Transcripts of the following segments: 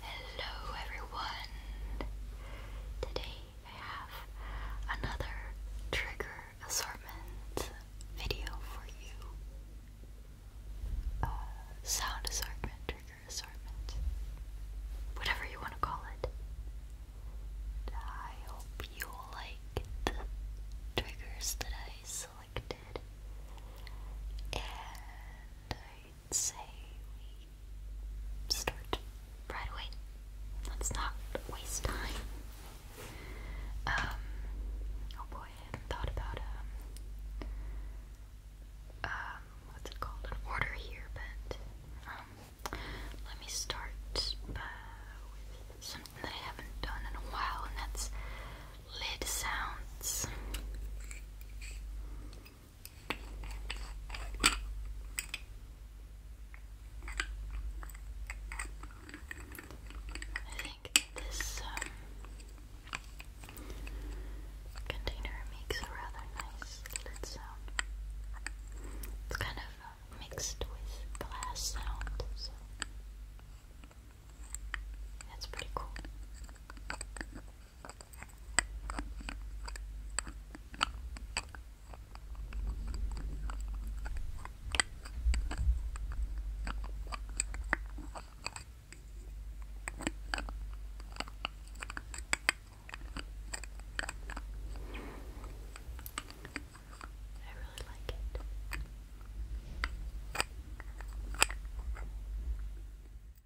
Hello everyone! Today I have another trigger assortment video for you. Uh, sound assortment, trigger assortment, whatever you want to call it. I hope you'll like the triggers that I selected. And I say we start right away. Let's not waste time. Um, oh boy, I hadn't thought about um, um, what's it called? An order here, but um, let me start uh, with something that I haven't done in a while, and that's lid sounds. I think this um, container makes a rather nice lid sound. It's kind of uh, mixed with glass sound, so that's pretty cool. I really like it.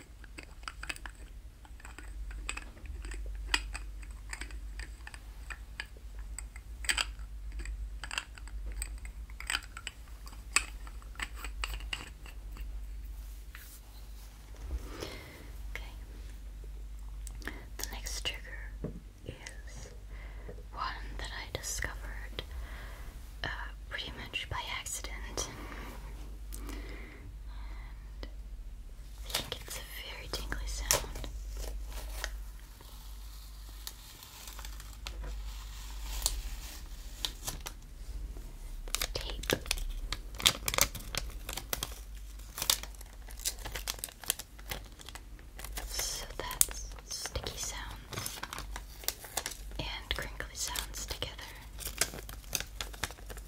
Okay. The next trigger is one that I discovered uh, pretty much by accident. I think it's a very tingly sound. Tape. So that's sticky sounds and crinkly sounds together.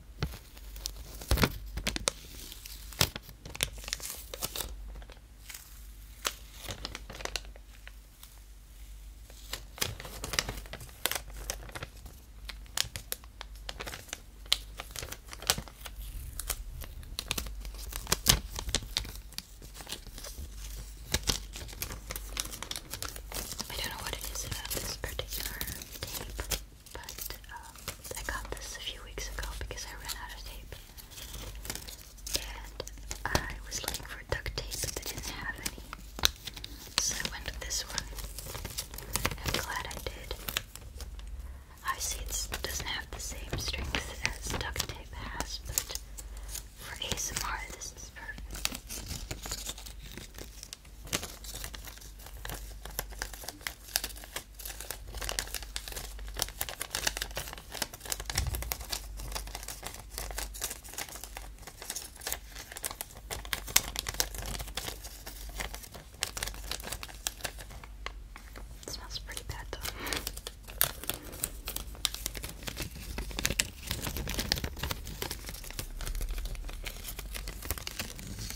I don't know what it is about this particular tape but um, I got this a few weeks ago because I ran out of tape. And I was looking for duct tape, but they didn't have any. So I went with this one. I'm glad I did. Obviously, it doesn't have the same strength as duct tape has, but for ASMR, this is perfect. It smells pretty bad though.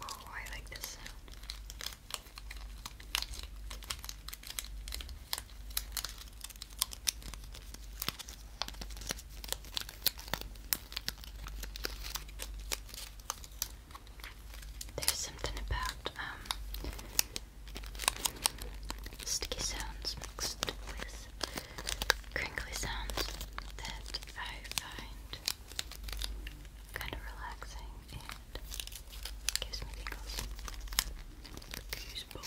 Oh, I like this sound. There's something about um sticky sounds mixed with crinkly sounds that I find kind of relaxing and gives me tingles. Usable.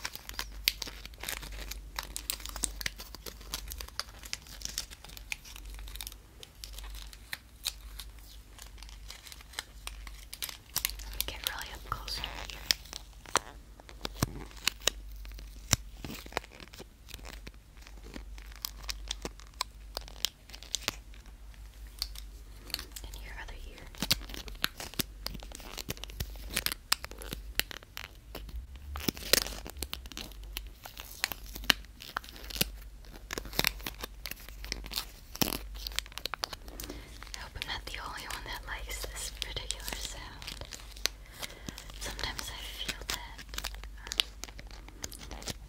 Let me get really up closer here. And your other ear. Okay. I hope I'm not the only one that likes this particular sound. Sometimes I feel that um,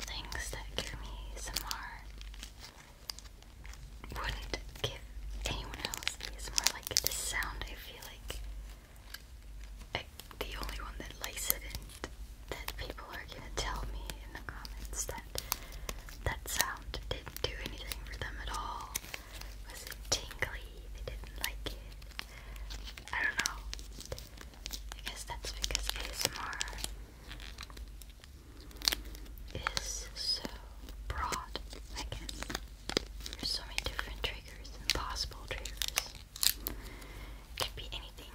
things that give me some more wouldn't give anyone else these more like this sound. I feel like the only one that likes it and that people are gonna tell me in the comments that sound didn't do anything for them at all. was it tingly? They didn't like it. I don't know. I guess that's because ASMR is so broad, I guess. There's so many different triggers possible triggers. It could be anything.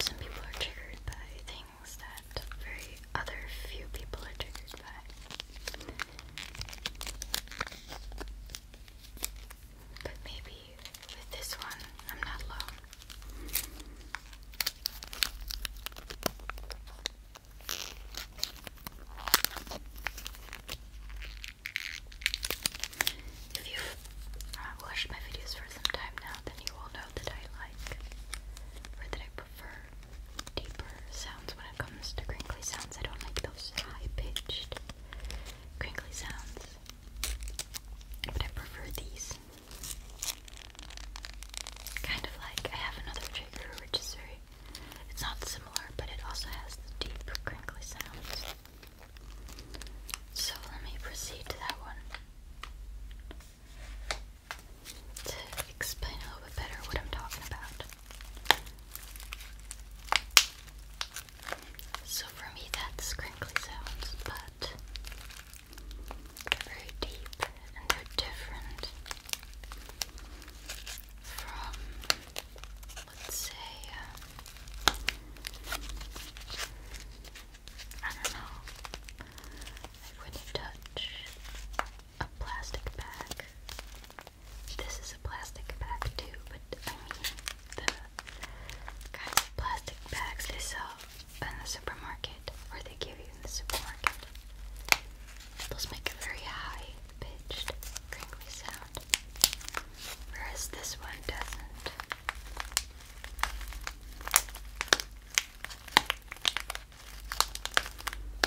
Some people are triggered by things that very other few people are triggered by. But maybe with this one, I'm not alone. If you've uh, watched my videos for some time now, then you will know that I like, or that I prefer deeper sounds when it comes to crinkly sounds. I don't like those high-pitched crinkly sounds, but I prefer these. Kind of like, I have another trigger which is very, it's not similar, but it also has deep crinkly sounds. So let me proceed to that one to explain a little bit better what I'm talking about. So for me that's crinkly sounds, but very deep and they're different from, let's say, uh, I don't know, like when you touch a plastic bag, this is a plastic bag too, but I mean the kinds of plastic bags they sell in the supermarket, or they give you in the supermarket. Those make a very high pitched crinkly sound, whereas this one doesn't.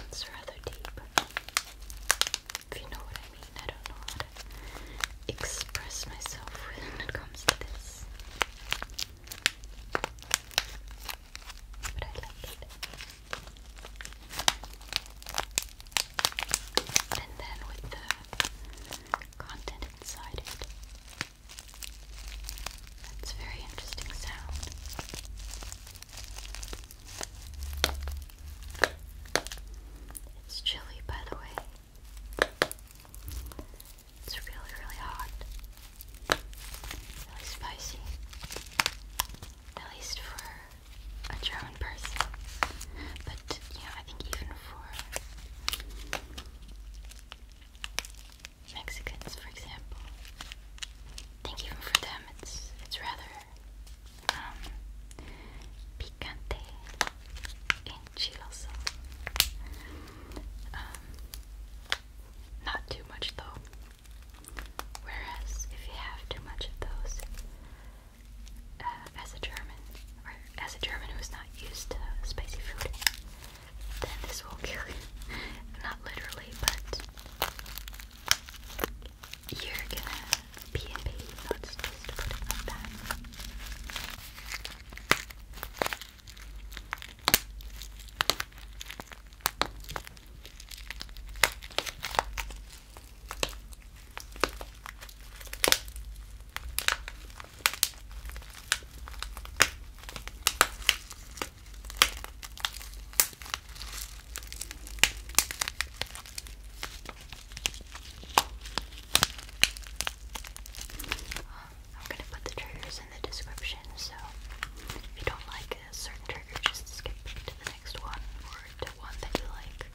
It's rather deep. If you know what I mean, I don't know how to express myself when it comes to this. But I like it. And then with the content inside it. That's a very interesting sound. It's chilly, by the way. It's really, really hot. Really spicy. At least for a German person. But, you know, I think even for Mexicans, for example, I think even for them it's it's rather um, picante and chiloso. Um, not too much though. Whereas if you have too much of those, uh, as a German, or as a German who's not used to spicy food, then this will kill you. not literally, but you're gonna be in pain. Not just to put it like that. I'm going to put the triggers in the description, so if you don't like a certain trigger, just skip to the next one or to one that you like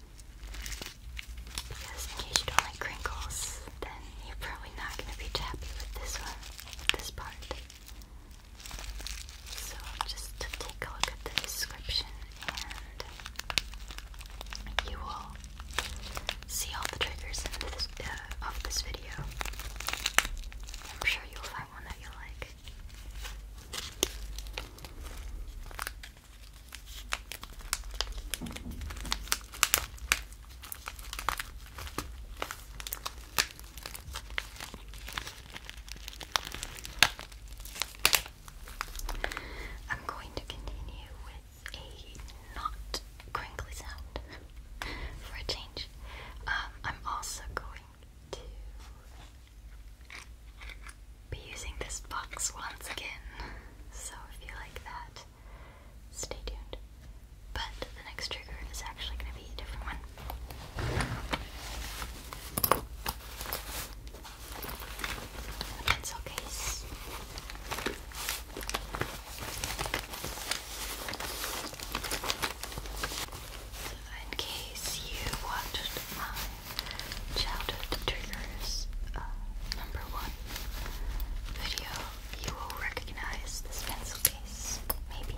in case you don't like crinkles, then you're probably not going to be happy with this one, this part. So just take a look at the description and you will see all the triggers uh, of this video. I'm sure you'll find one that you like. I'm going to continue with a not crinkly sound for a change. Um, I'm also going to be using this box once again. So if you like that, stay tuned. But the next trigger is actually going to be a different one. pencil case. in case you watched my childhood triggers. Uh, number one video, you will recognize this pencil case, maybe.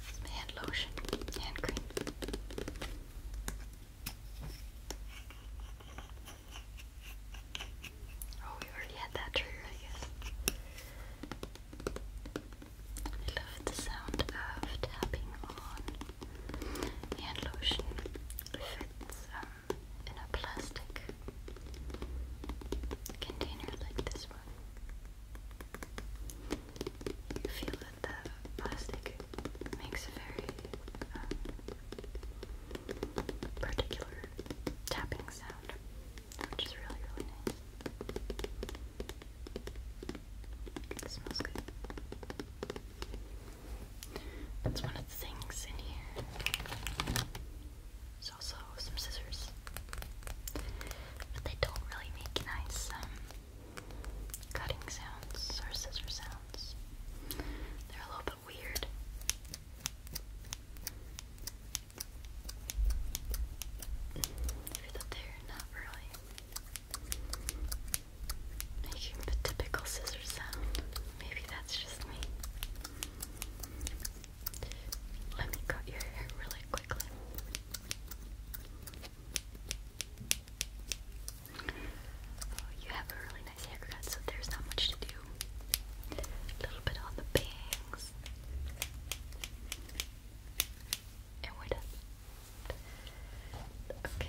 It's my hand lotion, hand cream. Oh, we already had that trigger, I guess. I love the sound of tapping on hand lotion. If in a plastic container like this one. You feel that the plastic makes a very um, particular tapping sound, which is really, really nice. smells good. That's one of the things in here there's also some scissors. But they don't really make nice um, cutting sounds or scissor sounds. They're a little bit weird. Even they're not really making the typical scissor sound. Maybe that's just me. Let me cut your hair really quickly. Oh, you have a really nice haircut, so there's not much to do. A little bit on the bangs. And we're done. Okay.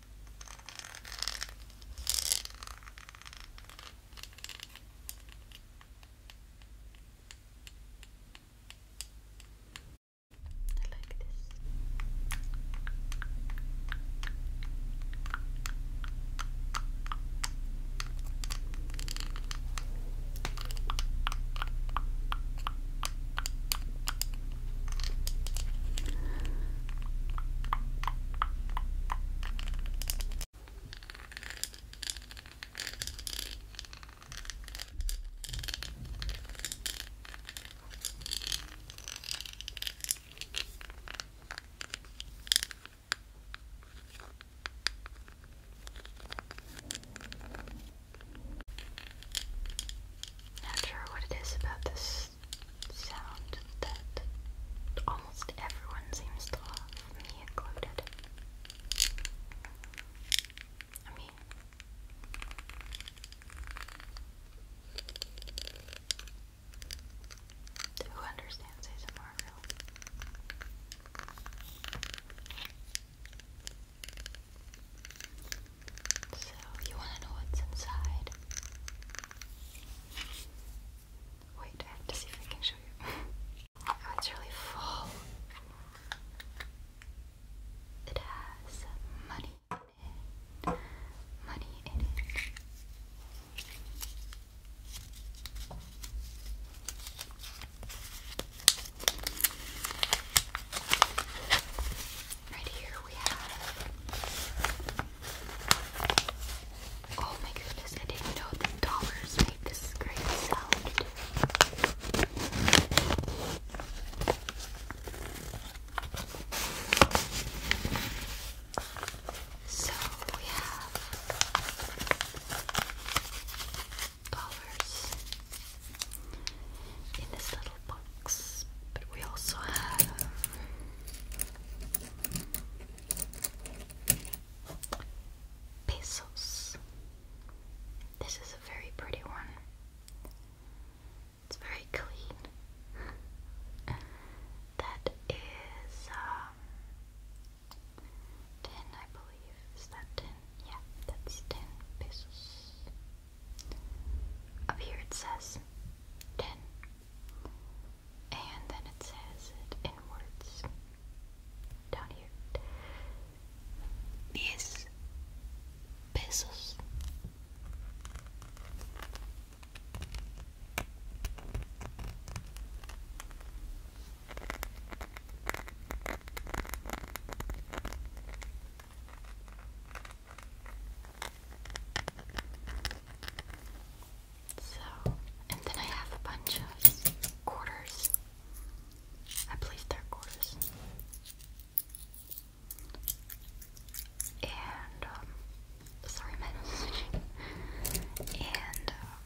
I like this. Not sure what it is about this sound that almost everyone seems to love, me included. I mean, who understands ASMR really? So, you want to know what's inside? Wait, I have to see if I can show you. Oh, it's really full. It has money in Money in Right here we have. Oh my goodness, I didn't know the dollars made this great sound. So we have dollars in this little book but we also have pesos. This is a very pretty one. It's very clean. that is um, I believe. Is that tin? Yeah, that's tin pesos. Up here it says 10. And then it says it in words. Down here. Diez pesos. So, and then I have a bunch of quarters. I believe they're quarters. And, um, sorry, my nose is itching. And, um,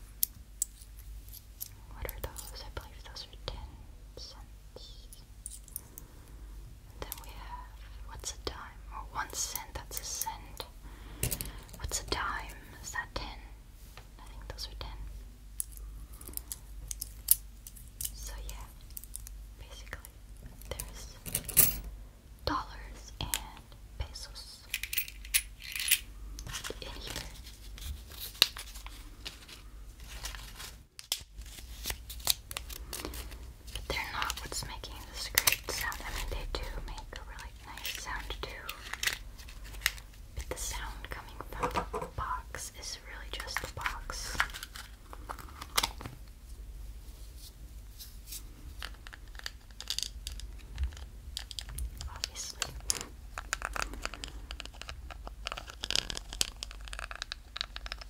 what are those? I believe those are 10 cents then we have what's a dime? Or oh, one cent, that's a cent. What's a dime? Is that ten? I think those are ten. So yeah, basically there's dollars and pesos in here. But they're not what's making this great sound. I mean, they do make a really nice sound too. But the sound coming from the box is really just the box. Obviously.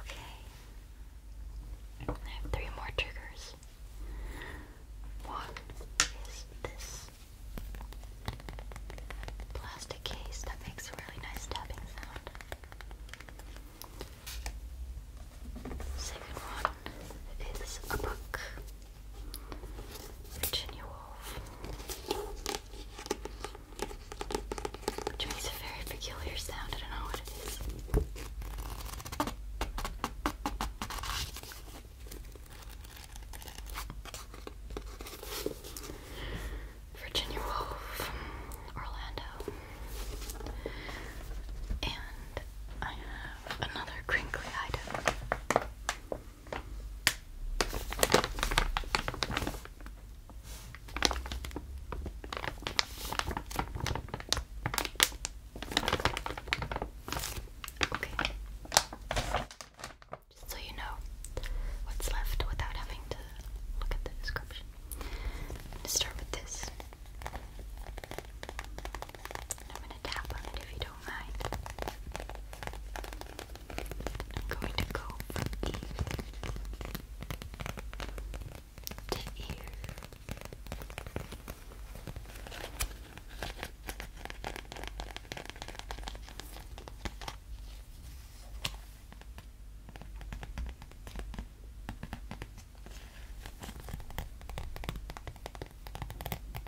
Okay. I have three more triggers. One is this plastic case that makes a really nice tapping sound. Second one is a book. Virginia Woolf, which makes a very peculiar sound. I don't know what it is. Virginia Woolf, Orlando, and I have another crinkly item. Just so you know what's left without having to look at the description. I'm start with this. And I'm going to tap on it if you don't mind. I'm going to go to ear.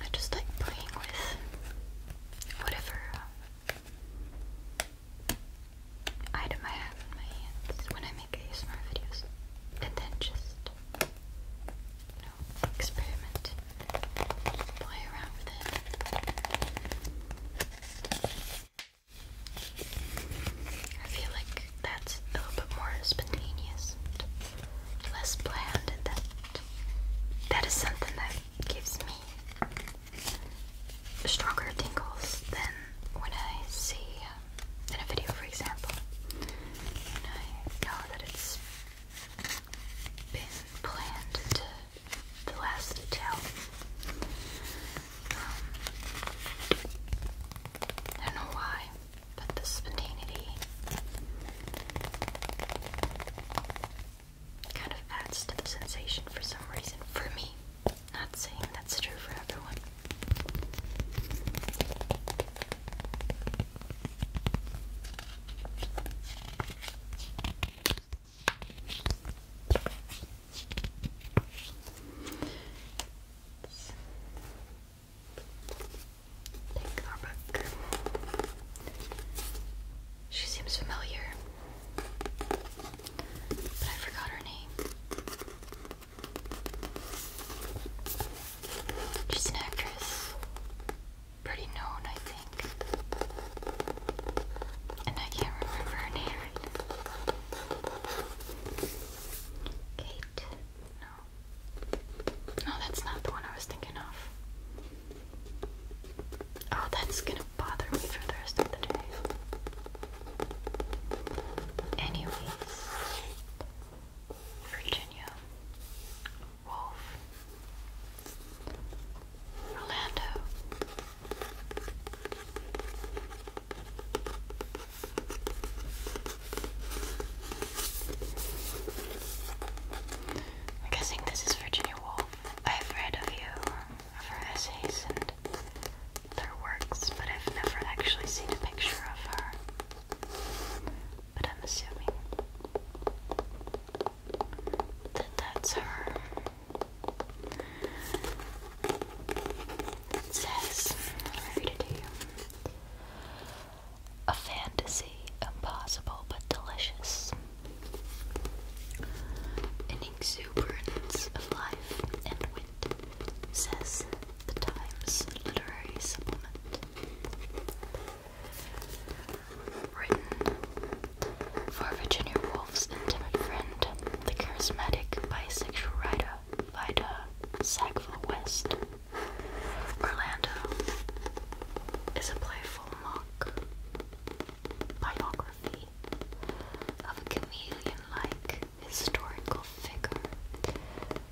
I just like playing with whatever uh, item I have in my hands when I make ASMR videos and then just you experiment, play around with it. I feel like that's a little bit more spontaneous, less planned, and that that is something that gives me stronger tingles than when I see uh, in a video, for example, and I know that it's been planned to the last detail. Um, I don't know why, but the spontaneity kind of adds to the sensation for some reason. For me, not saying that's true for everyone. Take our book. She seems familiar, but I forgot her name. She's an actress. Pretty known, I think. And I can't remember her name. Kate? No. No, that's not the one I was thinking of. Oh, that's gonna bother me for the rest of the day. Anyways, Virginia, Wolf, Orlando. I'm guessing this is Virginia Woolf. I've read a few of her essays and their works, but I've never actually seen a picture of her. But I'm assuming that that's her. says, A fantasy impossible but delicious. An exuberance of life and wit says the Times Literary Supplement. Written for Virginia Woolf's intimate friend, the charismatic bisexual writer Vida Sackville West. Orlando is a playful mock biography of a chameleon like historical figure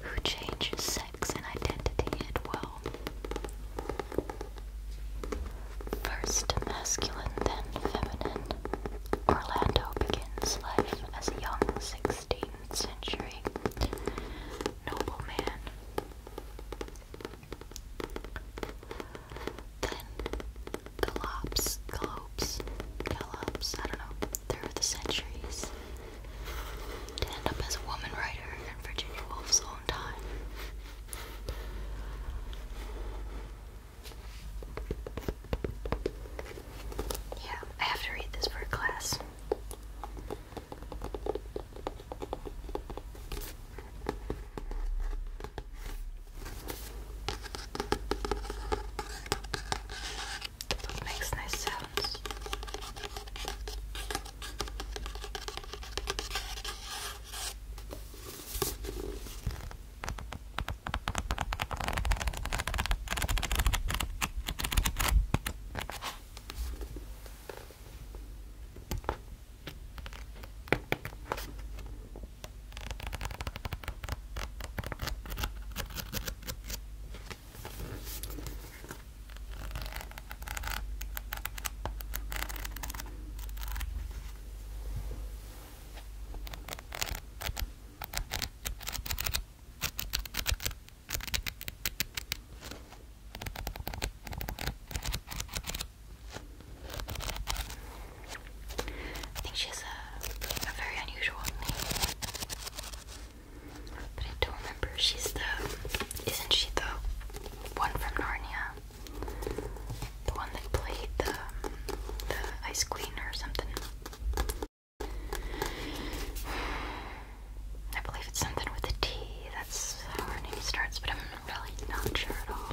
who changes sex and identity at will. First masculine, then feminine, Orlando begins life as a young 16th century nobleman. Then gallops, gallops, gallops, I don't know, through the centuries to end up as a woman writer in Virginia Woolf's own time. Yeah, I have to read this for class. That makes nice sounds. I think she has a, a very unusual name. I don't remember. She's the. Isn't she the one from Narnia? The one that played the, the Ice Queen or something. I believe it's something with a T. That's how her name starts, but I'm really not sure at all.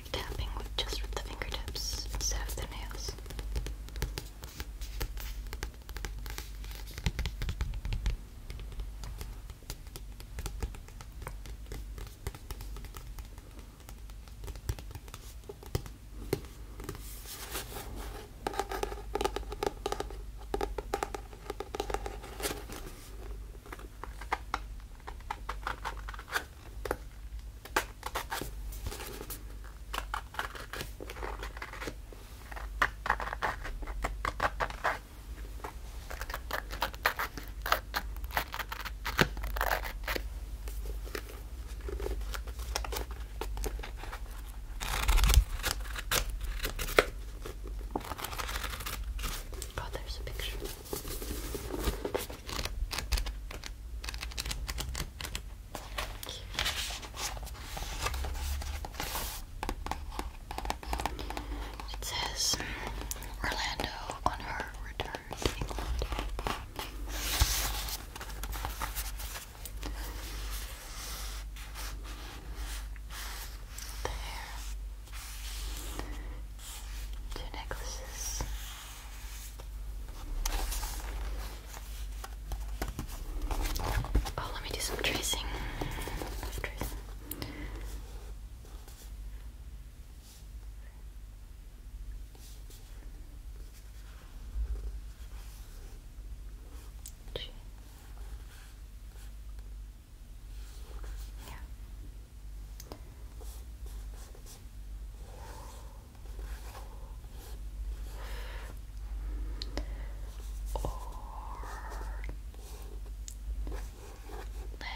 tapping with just with the fingertips instead of the nails. Oh, there's a picture. It says Orlando on her return to two necklaces. Oh, let me do some tracing. Let's yeah. Or Left.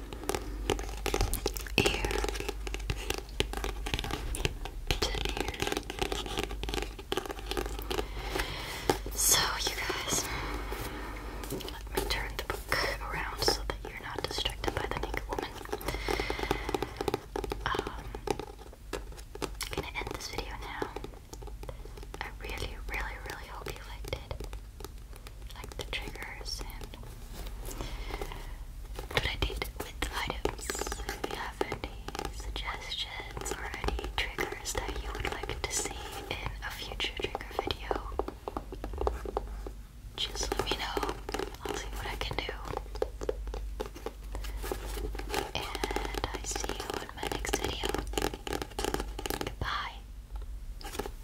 ear to ear. So, you guys, let me turn the book around so that you're not distracted by the naked woman. Um, gonna end this video now. I really, really, really hope you liked it like the triggers and what I did with items. If you have any suggestions or any triggers that you would like to see in a future trigger video, just let me know. I'll see what I can do. And I see you in my next video. Goodbye.